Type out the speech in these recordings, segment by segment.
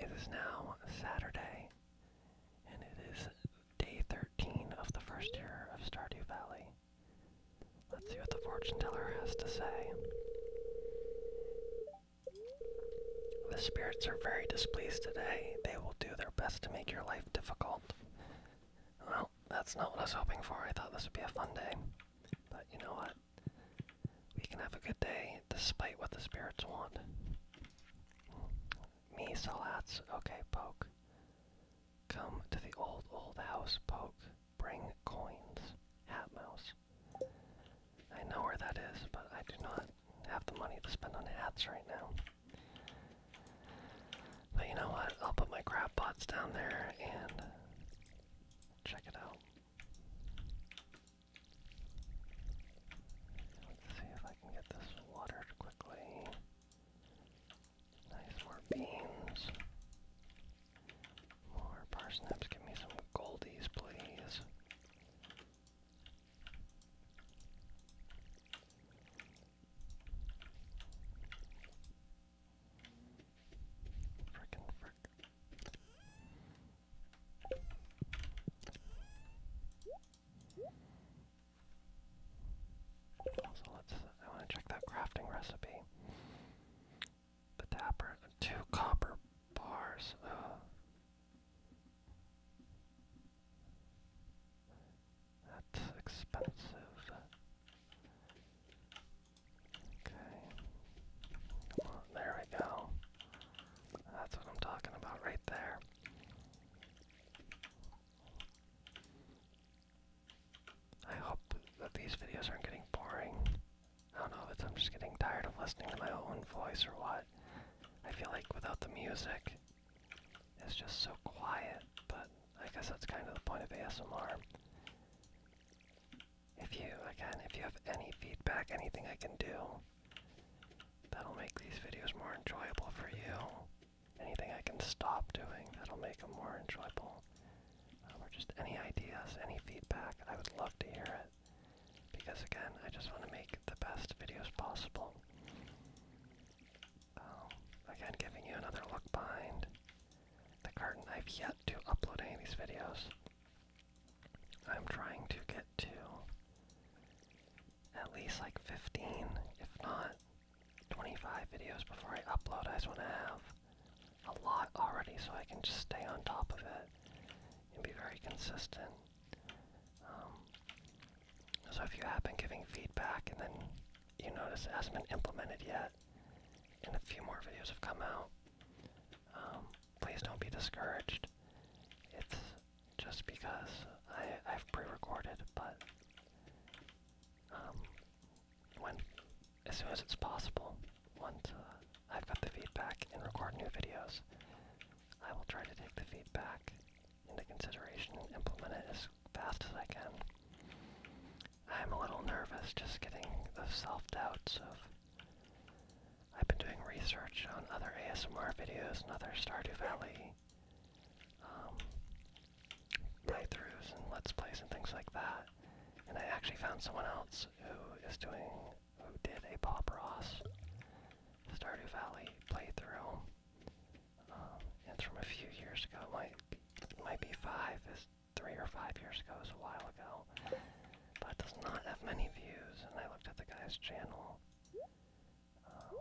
It is now Saturday, and it is day 13 of the first year of Stardew Valley. Let's see what the fortune teller has to say. The spirits are very displeased today. They will do their best to make your life difficult. Well, that's not what I was hoping for. I thought this would be a fun day. But you know what? We can have a good day despite what the spirits want. Me, Salats, okay, poke. Come to the old, old house, poke. Bring coins. Hat mouse. I know where that is, but I do not have the money to spend on hats right now. But you know what? I'll put my crab pots down there and check it out. Let's see if I can get this watered quickly. Nice, more beans. More parsnips. Give me some goldies, please. Frickin' frick. So let's, I want to check that crafting recipe. The dapper, two copper bars. Uh. That's expensive. Okay. there we go. That's what I'm talking about right there. I hope that these videos aren't getting boring. I don't know if it's I'm just getting tired of listening to my own voice or what. I feel like without the music, it's just so quiet, but I guess that's kind of the point of ASMR if you again if you have any feedback anything i can do that'll make these videos more enjoyable for you anything i can stop doing that'll make them more enjoyable um, or just any ideas any feedback i would love to hear it because again i just want to make the best videos possible um, again giving you another look behind the curtain i've yet to upload any of these videos I'm trying to get to at least like 15, if not 25 videos before I upload. I just want to have a lot already so I can just stay on top of it and be very consistent. Um, so if you have been giving feedback and then you notice it hasn't been implemented yet, and a few more videos have come out, um, please don't be discouraged. It's just because I, have pre-recorded, but um, when, as soon as it's possible, once uh, I've got the feedback and record new videos, I will try to take the feedback into consideration and implement it as fast as I can. I'm a little nervous just getting the self-doubts of I've been doing research on other ASMR videos and other Stardew Valley um, playthroughs and Let's Plays and things like that. And I actually found someone else who is doing, who did a Bob Ross Stardew Valley playthrough. Um, it's from a few years ago. It might be, might be five, is three or five years ago. It was a while ago but does not have many views. And I looked at the guy's channel. Um,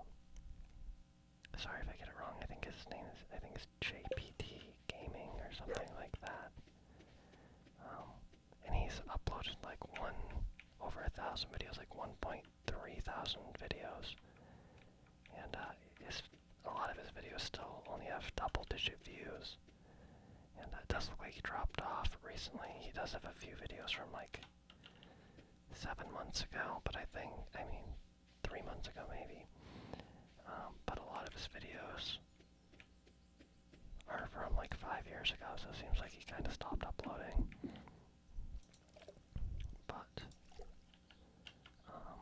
sorry if I get it wrong. I think his name is I think it's JPT Gaming or something like that. Um, and he's uploaded like one over a thousand videos, like 1.3 thousand videos. And uh, his, a lot of his videos still only have double-digit views. And it does look like he dropped off recently. He does have a few videos from like seven months ago, but I think, I mean, three months ago maybe. Um, but a lot of his videos are from like five years ago, so it seems like he kind of stopped uploading. But, um,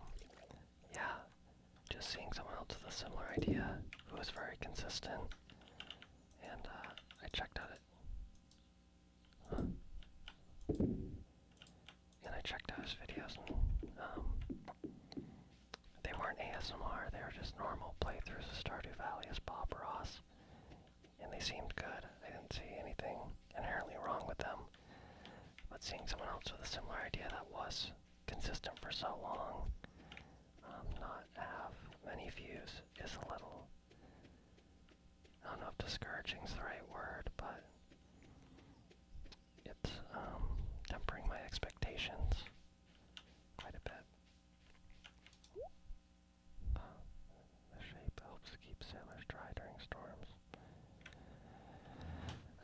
yeah, just seeing someone else with a similar idea who is very consistent uh, and I checked out it. And I checked out his videos, um, they weren't ASMR, they were just normal playthroughs of Stardew Valley as Bob Ross, and they seemed good. I didn't see anything inherently wrong with them, but seeing someone else with a similar idea that was consistent for so long not have many views is a little, I don't know if discouraging is the right word, but it's um, tempering my expectations quite a bit. the shape helps keep sailors dry during storms.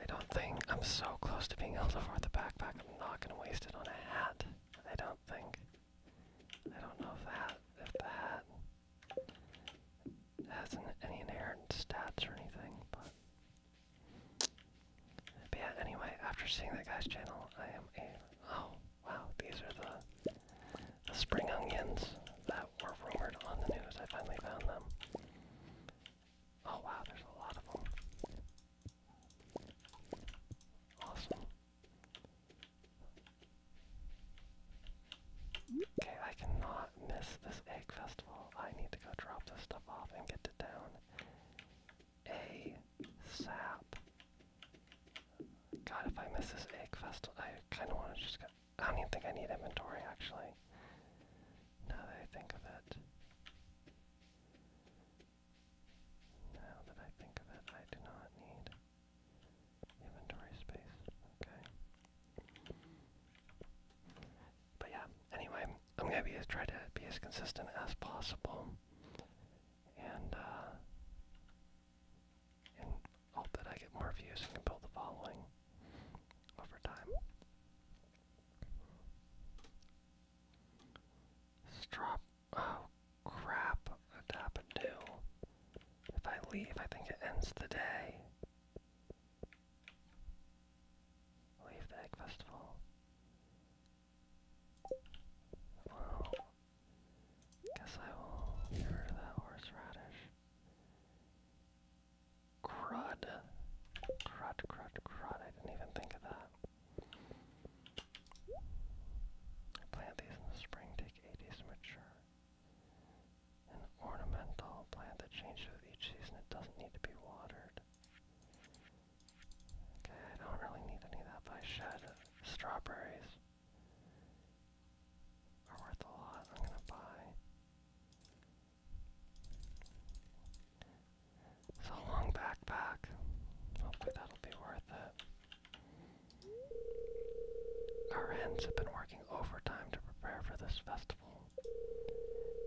I don't think I'm so close to being able to afford the backpack. I'm not going to waste it on a hat. I don't think. I don't know if that if the hat has an, any inherent stats or anything, but. yeah, anyway, after seeing that guy's channel, I am a oh wow, these are the the spring onions that were rumored on the news. I finally found them. Oh wow, there's a lot of them. Awesome. Okay, I cannot miss this egg festival. I need to go drop this stuff off and get it down. A God, if I miss this egg festival, I kind of want to just go. I don't even think I need inventory actually. Now that I think of it. Now that I think of it, I do not need inventory space. Okay. But yeah, anyway, I'm gonna be try to be as consistent as possible and uh, and hope that I get more views and can build the following over time. Strop Oh crap, what happened to? If I leave, I think it ends the day. Leave the egg festival. Well, guess I will get rid that horseradish. Crud. Crud, crud, crud. I didn't even think of that. Plant these in the spring, take eight days to mature. An ornamental plant that changes with each season, it doesn't need to be watered. Okay, I don't really need any of that, but I should. Strawberries are worth a lot. I'm gonna buy it's a long backpack. Hopefully that'll be worth it. Our hands have been working overtime to prepare for this festival.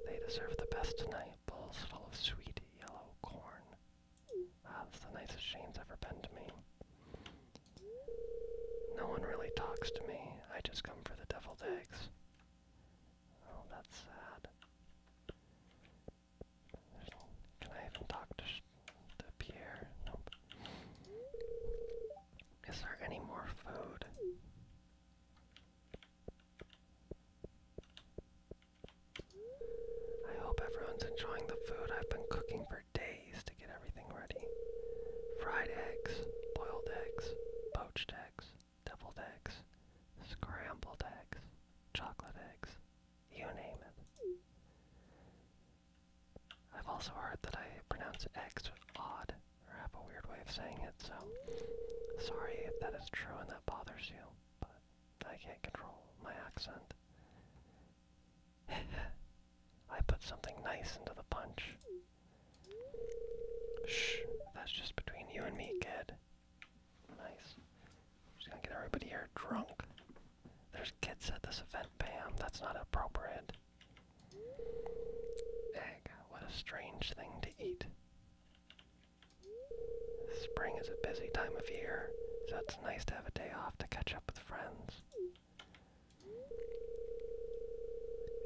They deserve the best tonight. Bowls full of sweet yellow corn. that's ah, the nicest Shane's ever been to me. No one really talks to me. I just come for the deviled eggs. Oh, that's sad. Can I even talk to, to Pierre? Nope. Is there any more food? I hope everyone's enjoying the food I've been cooking for days to get everything ready. Fried eggs, boiled eggs, poached eggs, deviled eggs, scrambled eggs chocolate eggs, you name it. I've also heard that I pronounce eggs odd or have a weird way of saying it, so sorry if that is true and that bothers you, but I can't control my accent. I put something nice into the punch. Shh, that's just between you and me, kid. Nice. Just gonna get everybody here drunk. There's kids at this event, bam. That's not appropriate. Egg. What a strange thing to eat. Spring is a busy time of year, so it's nice to have a day off to catch up with friends.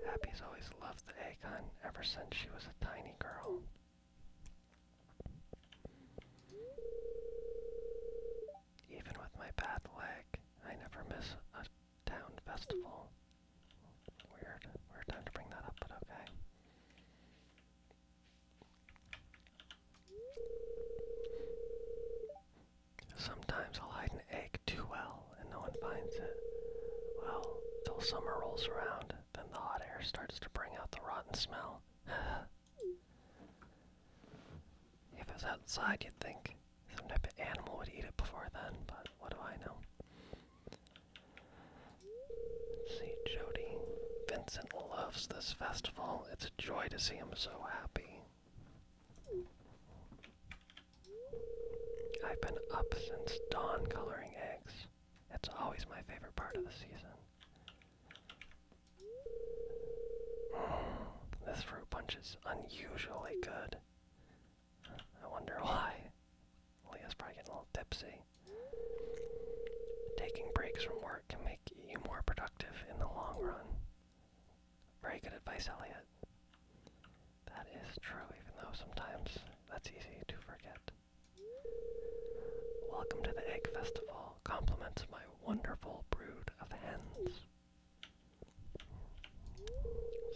Happy's always loved the egg hunt ever since she was a tiny girl. Even with my bad leg, I never miss a town festival. Weird. Weird time to bring that up, but okay. Sometimes I'll hide an egg too well and no one finds it. Well, till summer rolls around then the hot air starts to bring out the rotten smell. if it was outside, you'd think some type of animal would eat it before then, but what do I know? see, Jody. Vincent loves this festival. It's a joy to see him so happy. I've been up since dawn coloring eggs. It's always my favorite part of the season. this fruit punch is unusually good. I wonder why. Leah's probably getting a little tipsy. Taking breaks from work can make you more productive in the long run. Very good advice, Elliot. That is true, even though sometimes that's easy to forget. Welcome to the Egg Festival. Compliments my wonderful brood of hens.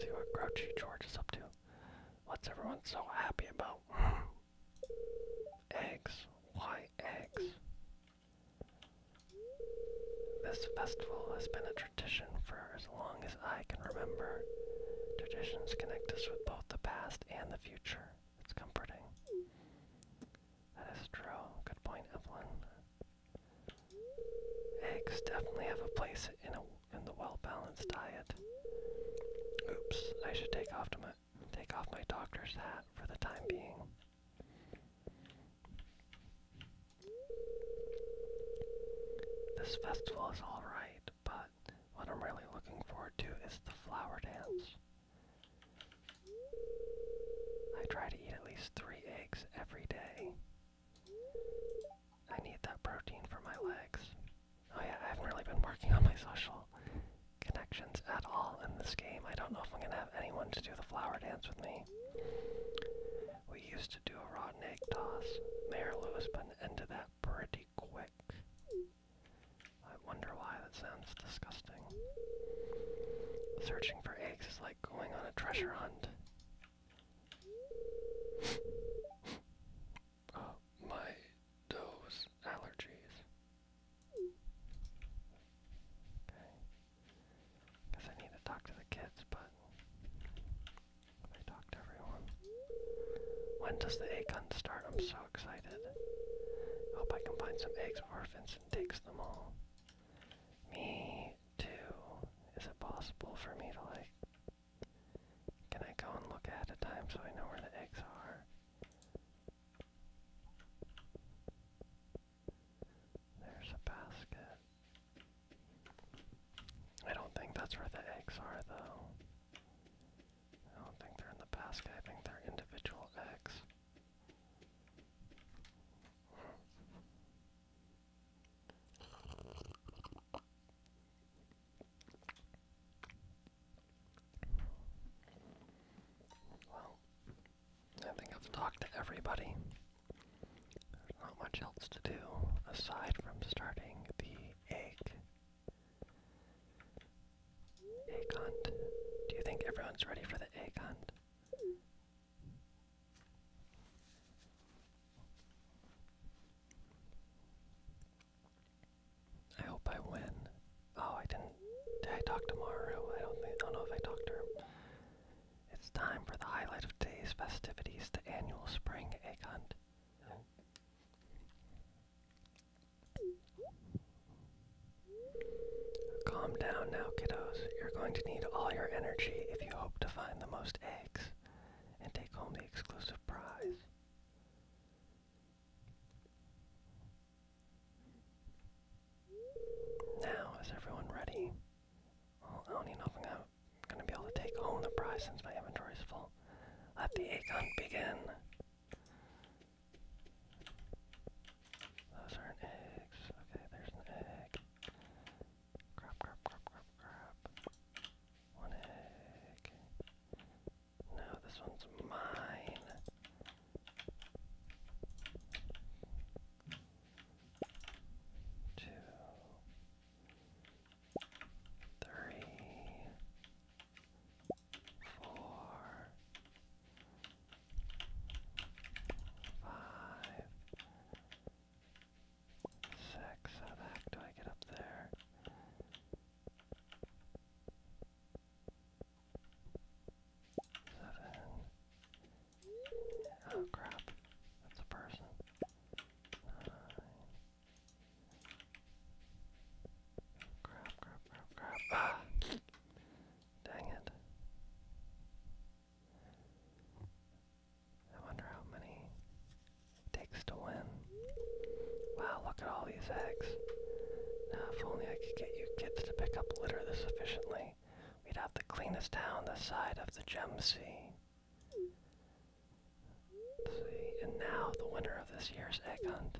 See what Grouchy George is up to. What's everyone so happy about? eggs. Why eggs? This festival has been a tradition for as long as I can remember. Traditions connect us with both the past and the future. It's comforting. That is true. Good point, Evelyn. Eggs definitely have a place in a in the well-balanced diet. Oops, I should take off my take off my doctor's hat for the time being. This festival is alright, but what I'm really looking forward to is the flower dance. I try to eat at least three eggs every day. I need that protein for my legs. Oh yeah, I haven't really been working on my social connections at all in this game. I don't know if I'm gonna have anyone to do the flower dance with me. We used to do a rotten egg toss, Mayor Lewis, but into that pretty quick. I wonder why that sounds disgusting. Searching for eggs is like going on a treasure hunt. uh, my those allergies. Okay. Guess I need to talk to the kids, but everyone. When does the egg hunt start? I'm so excited. Hope I can find some eggs before Vincent takes them all. Me too. Is it possible for me to like can I go and look ahead of time so I know where the eggs are? There's a basket. I don't think that's where the eggs are though. I don't think they're in the basket. I think they're individual eggs. Well, I think I've talked to everybody. There's not much else to do aside from starting the egg Egg hunt. Do you think everyone's ready for the egg hunt? I hope I win. Oh, I didn't. Did I talk to Maru? I don't I don't know if I talked to her. It's time for the highlight of today's festivities, the annual spring egg hunt. Calm down now, kiddos. You're going to need all your energy if you hope to find the most eggs and take home the exclusive prize. Now, is everyone ready? I don't even know I'm gonna be able to take home the prize since my inventory is full. Let the egg hunt begin. Those aren't eggs. Okay, there's an egg. Crap, crap, crap, crap, crap. One egg. No, this one's mine. Two three, four, five, six. How the heck do I get up there? Seven. Oh crap, that's a person. Grab, grab, grab, grab. Ah! Dang it. I wonder how many takes to win. Wow, look at all these eggs. Now, if only I could get you kids to pick up litter this efficiently, we'd have the cleanest town this side of the Gem Sea and now the winner of this year's egg hunt.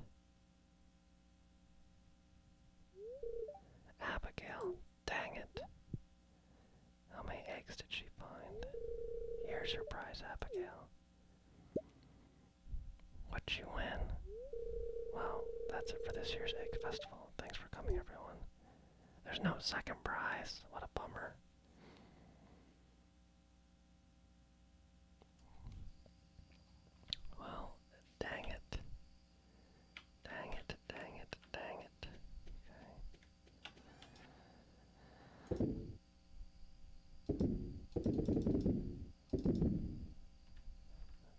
Abigail, dang it. How many eggs did she find? Here's her prize, Abigail. What'd you win? Well, that's it for this year's Egg Festival. Thanks for coming, everyone. There's no second prize. What a bummer. Well, dang it. Dang it, dang it, dang it. Okay.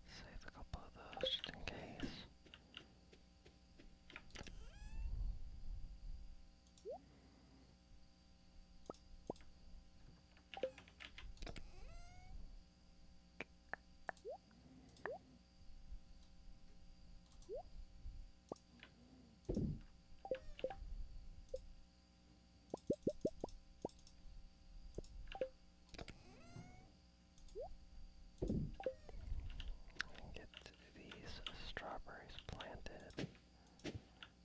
save a couple of those just in case. Get these strawberries planted.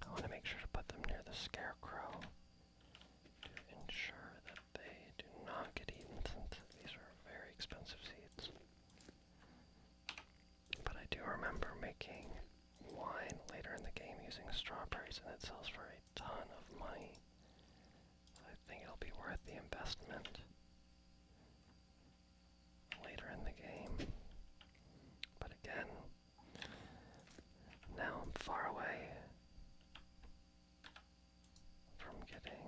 I want to make sure to put them near the scarecrow to ensure that they do not get eaten these are very expensive seeds. But I do remember making wine later in the game using strawberries and it sells for a ton of money. I think it'll be worth the investment later in the game. But again, now I'm far away from getting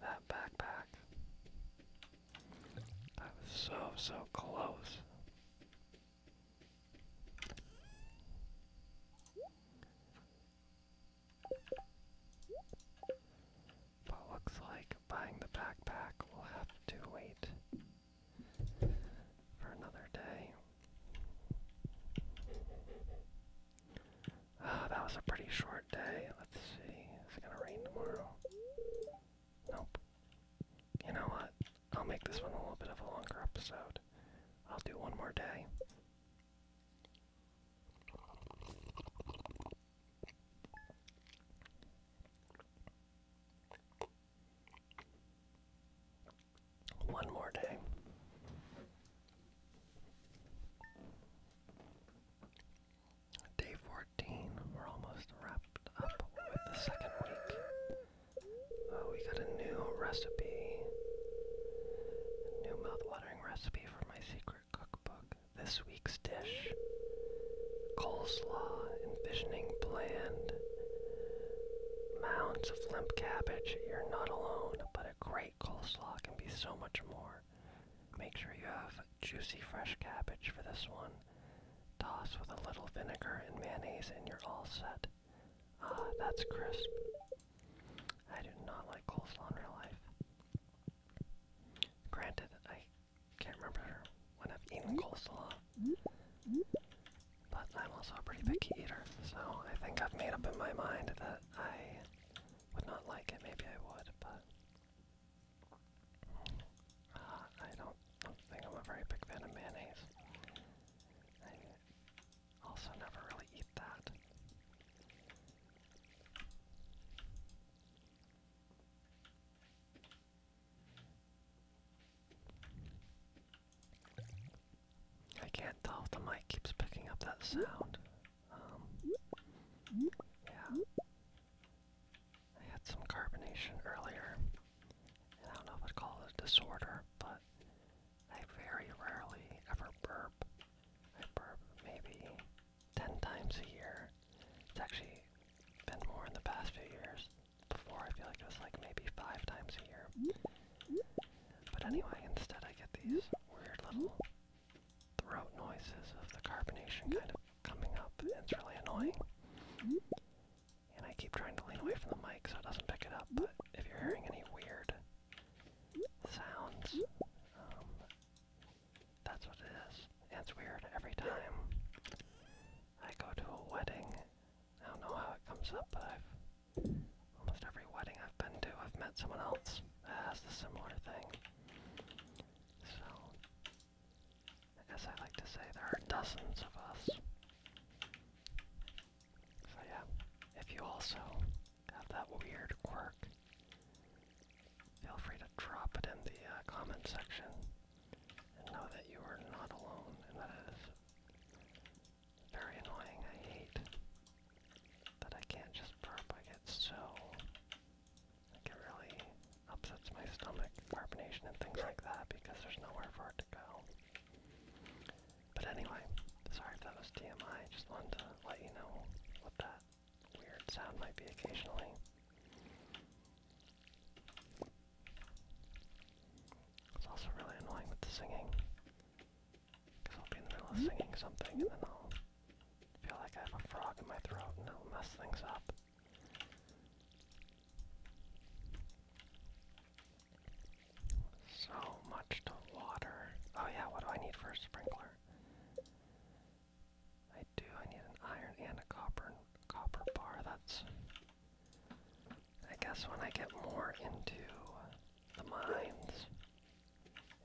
that backpack. I was so, so close but looks like buying the backpack will have to wait for another day. Oh, that was a pretty short day. Let's see. Is it gonna rain tomorrow? Nope. You know what? I'll make this one a little bit of a longer episode. I'll do one more day. One more day. Day 14, we're almost wrapped up with the second week. Uh, we got a new recipe, new mouth watering recipe for my secret. Cookbook, this week's dish coleslaw, envisioning bland mounds of limp cabbage. You're not alone, but a great coleslaw can be so much more. Make sure you have juicy fresh cabbage for this one. Toss with a little vinegar and mayonnaise, and you're all set. Ah, that's crisp. I do not like coleslaw in real life. Granted, I can't remember when I've eaten coleslaw. But I'm also a pretty picky eater, so I think I've made up in my mind that I would not like it. Maybe I would, but uh, I don't think I'm a very big fan of mayonnaise. I also never really eat that. I can't tell if the mic keeps picking up that sound. Um, yeah. I had some carbonation earlier. I don't know if I'd call it a disorder, but I very rarely ever burp. I burp maybe 10 times a year. It's actually been more in the past few years. Before, I feel like it was like maybe five times a year. But anyway, instead I get these weird little throat noises of the carbonation kind of coming up. it's really annoying. And I keep trying to lean away from the mic so it doesn't pick it up, but if you're hearing any weird sounds, um, that's what it is. It's weird every time I go to a wedding. I don't know how it comes up, but I've almost every wedding I've been to, I've met someone else that has a similar thing. So, as I like to say, there are dozens of us. So yeah, if you also have that weird quirk, feel free to drop it in the uh, comment section and know that you are not alone, and that is very annoying. I hate that I can't just burp. I get so it really upsets my stomach, carbonation and things like that, because there's nowhere for it to go. But anyway, sorry if that was TMI. Just wanted to let you know what that weird sound might be occasionally. It's also really annoying with the singing. Because I'll be in the middle of singing something and then I'll feel like I have a frog in my throat and it'll mess things up. So much to water. Oh yeah, what do I need for a sprinkler? I do. I need an iron and a copper copper bar. That's. I guess when I get more into the mines,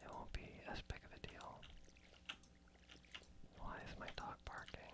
it won't be as big of a deal. Why is my dog barking?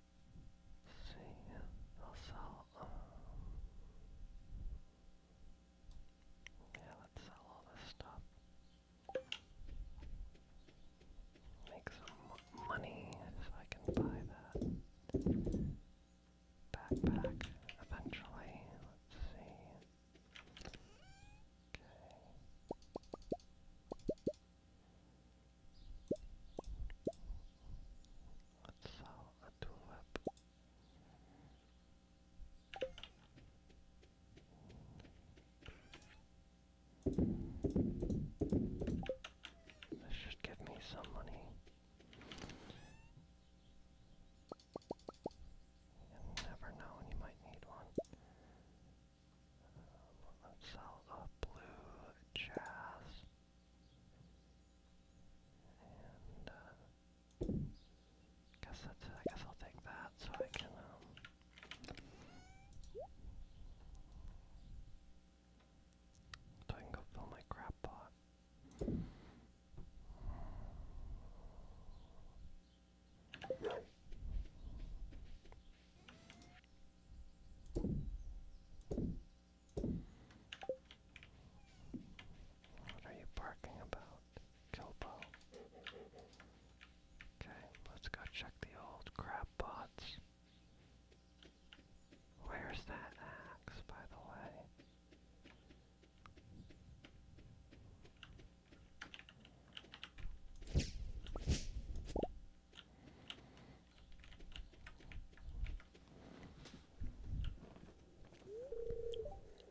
Sim, ela sell yeah, let's sell all this stuff. Make some money so I can buy that backpack eventually. Let's see. Okay. Let's sell a tulip. This should give me some money. You never know when you might need one. Um, let's sell a blue jazz. And, uh, I guess I'll take that so I can um, go fill my crap pot. What are you barking about, Kilbo? Okay, let's go check the old crab pots. Where's that axe, by the way?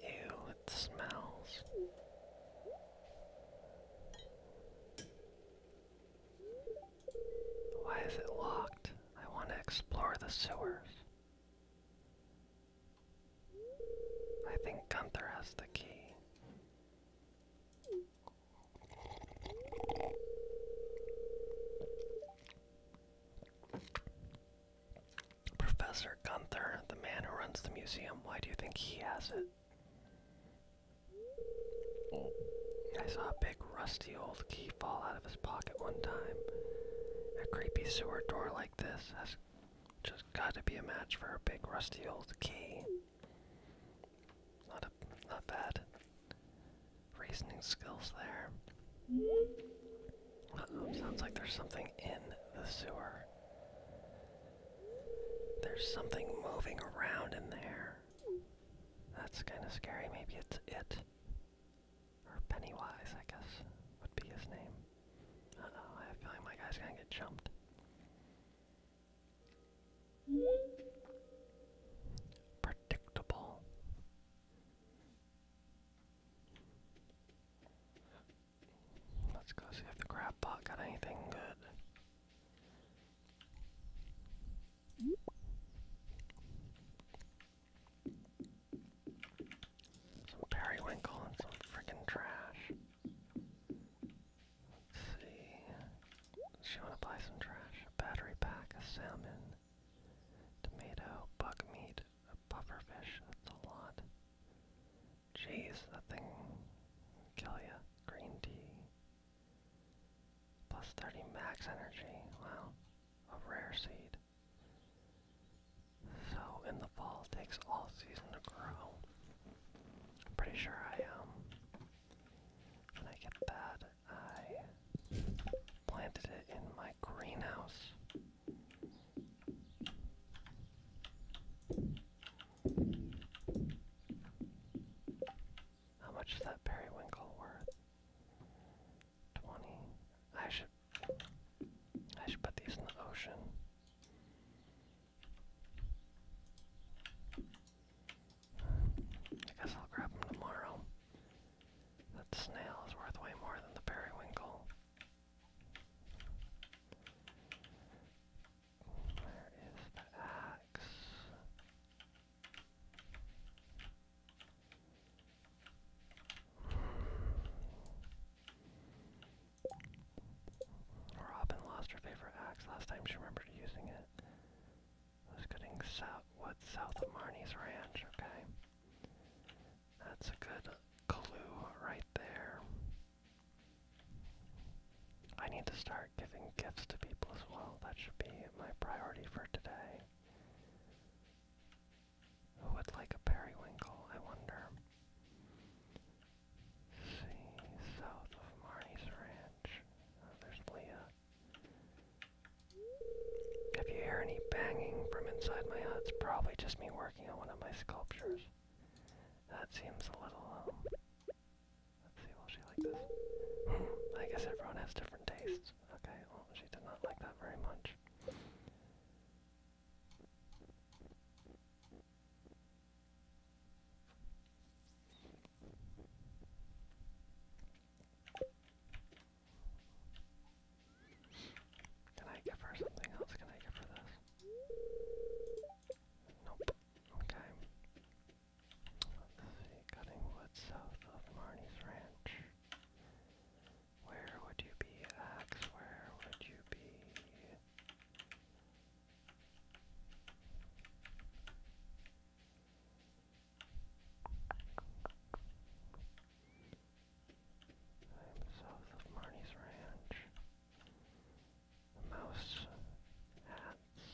Ew, it smells. Why is it locked? I want to explore the sewers. I think Gunther has the key. Professor Gunther, the man who runs the museum, why do you think he has it? I saw a big rusty old key fall out of his pocket one time. A creepy sewer door like this has just got to be a match for a big rusty old key. Not a not bad reasoning skills there. sounds like there's something in the sewer. There's something moving around in there. That's kind of scary. Maybe it's it. Or Pennywise, I guess, would be his name. Uh oh, I have a feeling my guy's gonna get jumped. Predictable. Let's go see if the grab pot got anything good. Some periwinkle and some freaking trash. Let's see. She wanna buy some trash. A battery pack, a salmon, tomato, buck meat, a pufferfish. That's a lot. Jeez, that thing kill ya. Green tea. Plus 30 max energy. Wow. A rare seed. So in the fall takes all season to grow. I'm pretty sure I am. Um, when I get that I planted it in my greenhouse. How much is that periwinkle worth? 20. I should I should put these in the ocean. I guess I'll grab them tomorrow. That snail is worth way more than the periwinkle. Where is the axe? Robin lost her favorite axe last time she remembered using it was cutting south wood south of Marnie's ranch, okay. That's a good clue right there. I need to start giving gifts to people as well. That should be my priority for today. Who would like a periwinkle, I wonder? see, south of Marnie's Ranch. Oh, there's Leah. If you hear any banging from inside my hut, it's probably just me working on one of my sculptures. That seems a little, um, let's see, will she like this? I guess everyone has different tastes. Okay, well, she did not like that very much. Can I give her something else? Can I give her this? Nope. Okay. Cutting wood south of Marnie's Ranch. Where would you be, Axe? Where would you be? I'm south of Marnie's Ranch. The mouse hats.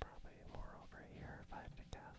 probably more over here if I had to guess.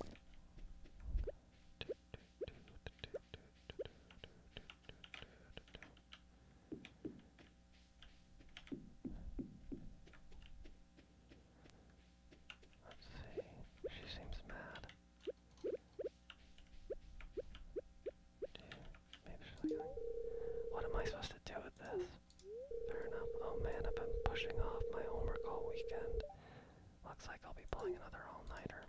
Let's see. She seems mad. what am I supposed to do with this? Fair enough. Oh man, I've been pushing off my homework all weekend. Looks like I'll be playing another all-nighter.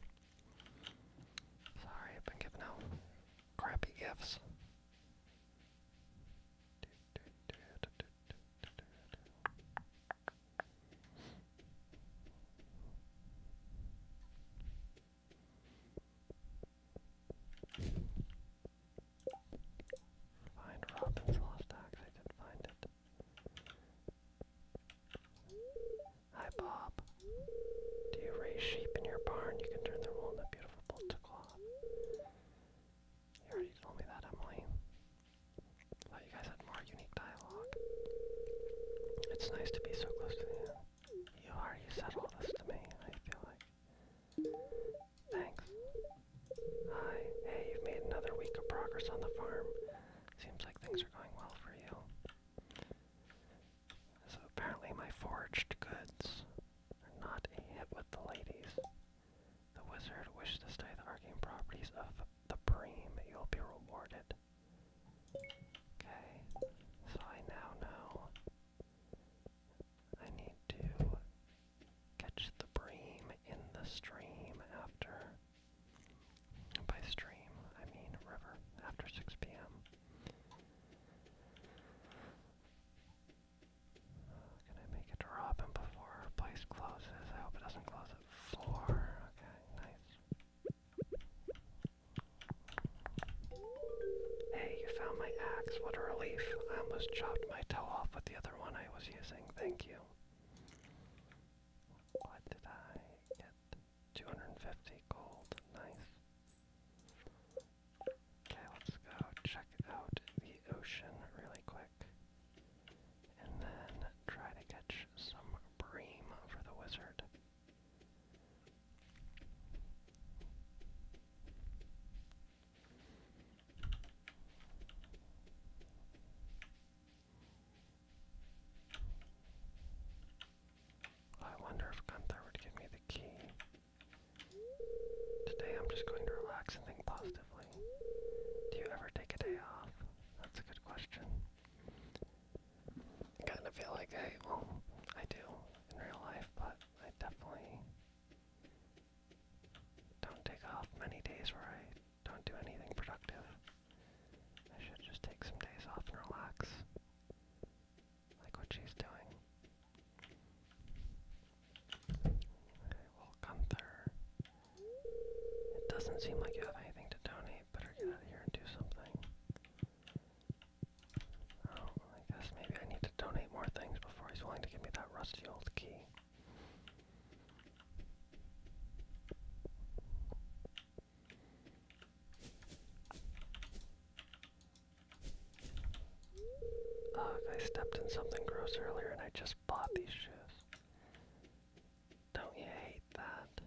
Sorry, I've been giving out crappy gifts. Find Robin's lost axe. I did find it. Hi, Bob. Do you raise sheep in your barn? You can turn their wool into beautiful bolts of cloth. You already told me that, Emily. thought you guys had more unique dialogue. It's nice to be so close to the You already said all this to me, I feel like. Thanks. Hi. Hey, you've made another week of progress on the farm. Seems like things are going well for you. So apparently my foraged goods are not a hit with the ladies. The wizard wishes to study the arcane properties of the bream. You'll be rewarded. Okay, so I now know I need to catch the bream in the stream after. By stream, I mean river, after 6 p.m. can I make it to Robin before place closes? I hope it doesn't close at 4. Okay, nice. Hey, you found my axe. What a relief. I almost chopped my toe off with the other one. I was using. Thank you. What did I get? 250 gold. Nice. Okay, let's go check out the ocean really quick. And then try to catch some bream for the wizard. I wonder if Gunther would give me the key. Today I'm just going to relax and think positively. Do you ever take a day off? That's a good question. kind of feel like I, well, I do in real life, but I definitely don't take off many days where I don't do anything productive. I should just take some days off and relax. Like what she's doing. well, Gunther. It doesn't seem like you have anything to donate. Better get out of here and do something. Oh, I guess maybe I need to donate more things before he's willing to give me that rusty old key. Ugh, I stepped in something gross earlier and I just bought these shoes. Don't you hate that?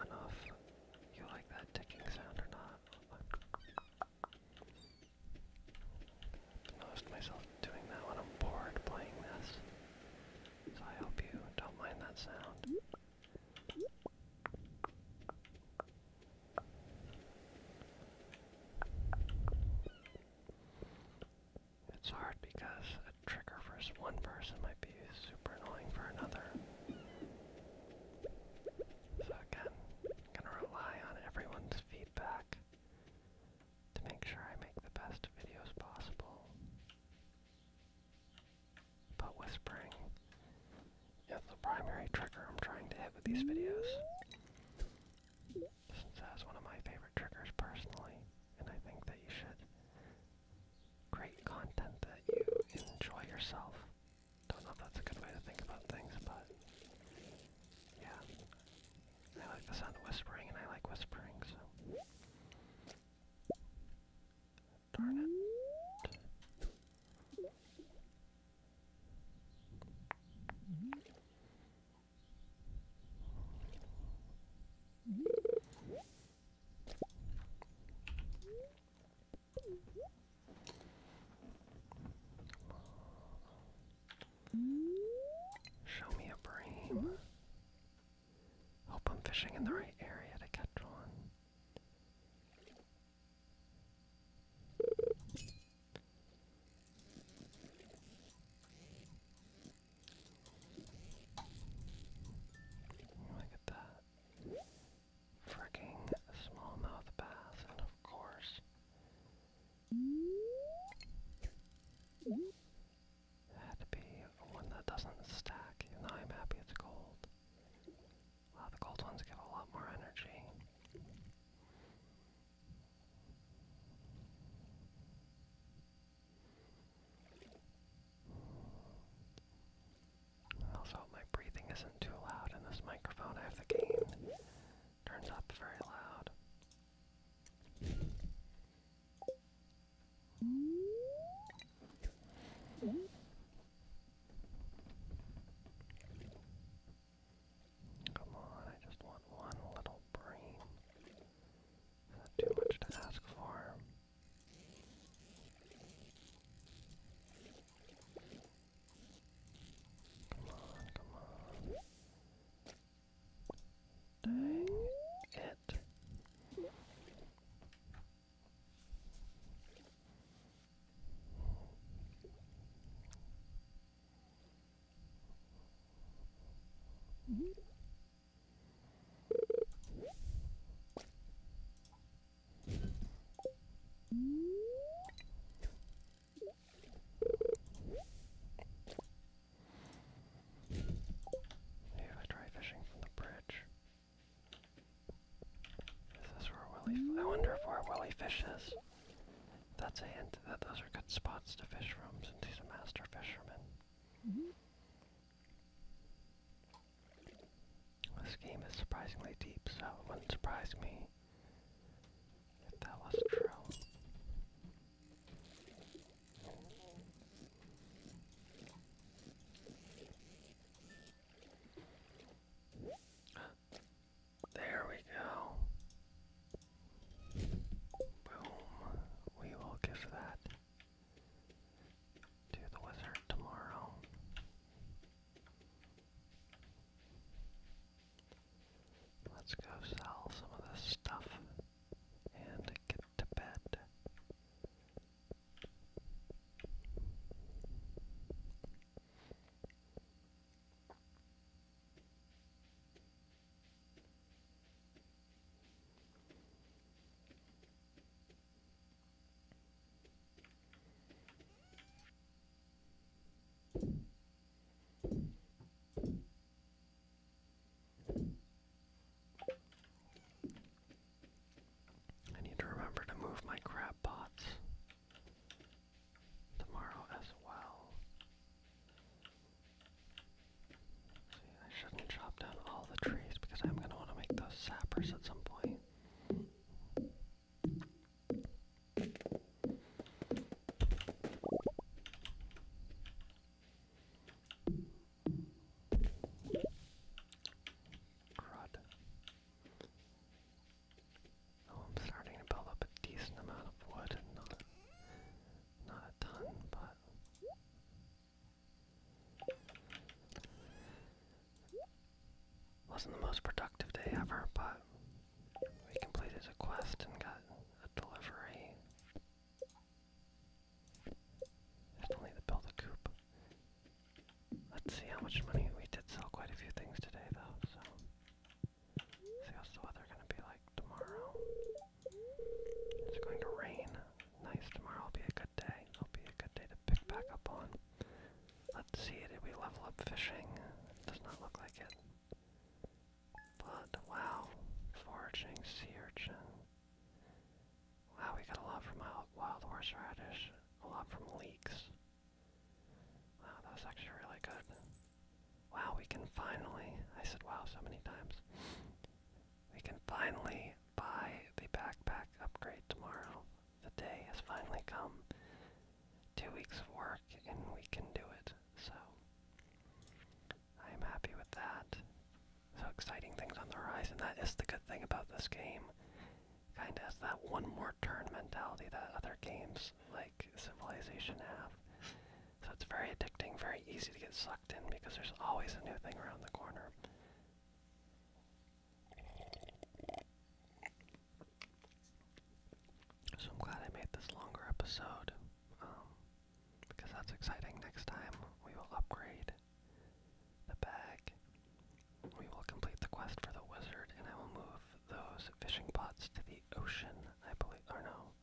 I do you like that that ticking sound or not. I've myself doing that when I'm bored playing this. So I hope you don't mind that sound. It's hard because a trigger for one person might super annoying for another. So again, I'm gonna rely on everyone's feedback to make sure I make the best videos possible. But whispering is the primary trigger I'm trying to hit with these videos. Since that's one of my favorite triggers personally, and I think that you should great content that you enjoy yourself. Don't know if that's a good way to think about things, but yeah. I like the sound of whispering and I like whispering, so. Darn it. Show me a bream. Hope I'm fishing in the right area to catch one. Look at that freaking smallmouth bass, and of course, had to be one that doesn't stack, even I'm happy it's cold. the cold ones give a lot more energy. Also, my breathing isn't too loud in this microphone. I have the gain turns up very loud. Come on, I just want one little brain. too much to ask for? Come on, come on. Dang it if I try fishing from the bridge. Is where Willie? I wonder if where Willie fishes. That's a hint that those are good spots to fish from since he's a master fisherman. Mm-hmm. This game is surprisingly deep, so it wouldn't surprise me if that was true. There we go. Boom. We will give that to the wizard tomorrow. Let's go sell some of this stuff and get to bed. I need to remember to move my crab pots tomorrow as well. I shouldn't chop down all the trees because I'm going to want to make those sappers at some point. Crud. Oh, I'm starting to build up a decent amount of wood, not, not a ton, but wasn't the most productive day ever, but we completed a quest and got a delivery. I to build a coop. Let's see how much money we did sell quite a few things today though, so see what's the weather gonna be like tomorrow. It's going to rain, nice. Tomorrow will be a good day. It'll be a good day to pick back up on. Let's see, did we level up fishing? Does not look like it. But wow, foraging sea urchin. Wow, we got a lot from wild horseradish, a lot from leeks. Wow, that was actually really good. Wow, we can finally, I said wow so many times, we can finally buy the backpack upgrade tomorrow. The day has finally come. Two weeks of work and we can do it. So I'm happy with that. So exciting things on the rise, and That is the good thing about this game. Kinda has that one more turn mentality that other games like Civilization have. So it's very addicting, very easy to get sucked in because there's always a new thing around the corner. So I'm glad I made this longer episode, um, because that's exciting. Next time we will upgrade the bag. We will complete the quest for the wizard, and I will move those fishing pots to the ocean, I believe. Or no,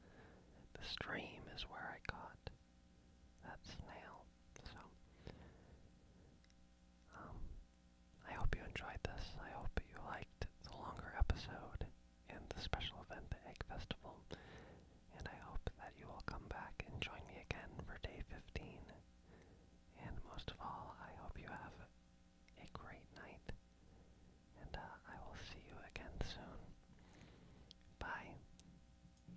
the stream is where I caught that snail. So, um, I hope you enjoyed this. I hope you liked the longer episode and the special event, the Egg Festival. And I hope that you will come back and join me again for day 15. And most of all, I hope you have a great night. And uh, I will see you again soon. Bye.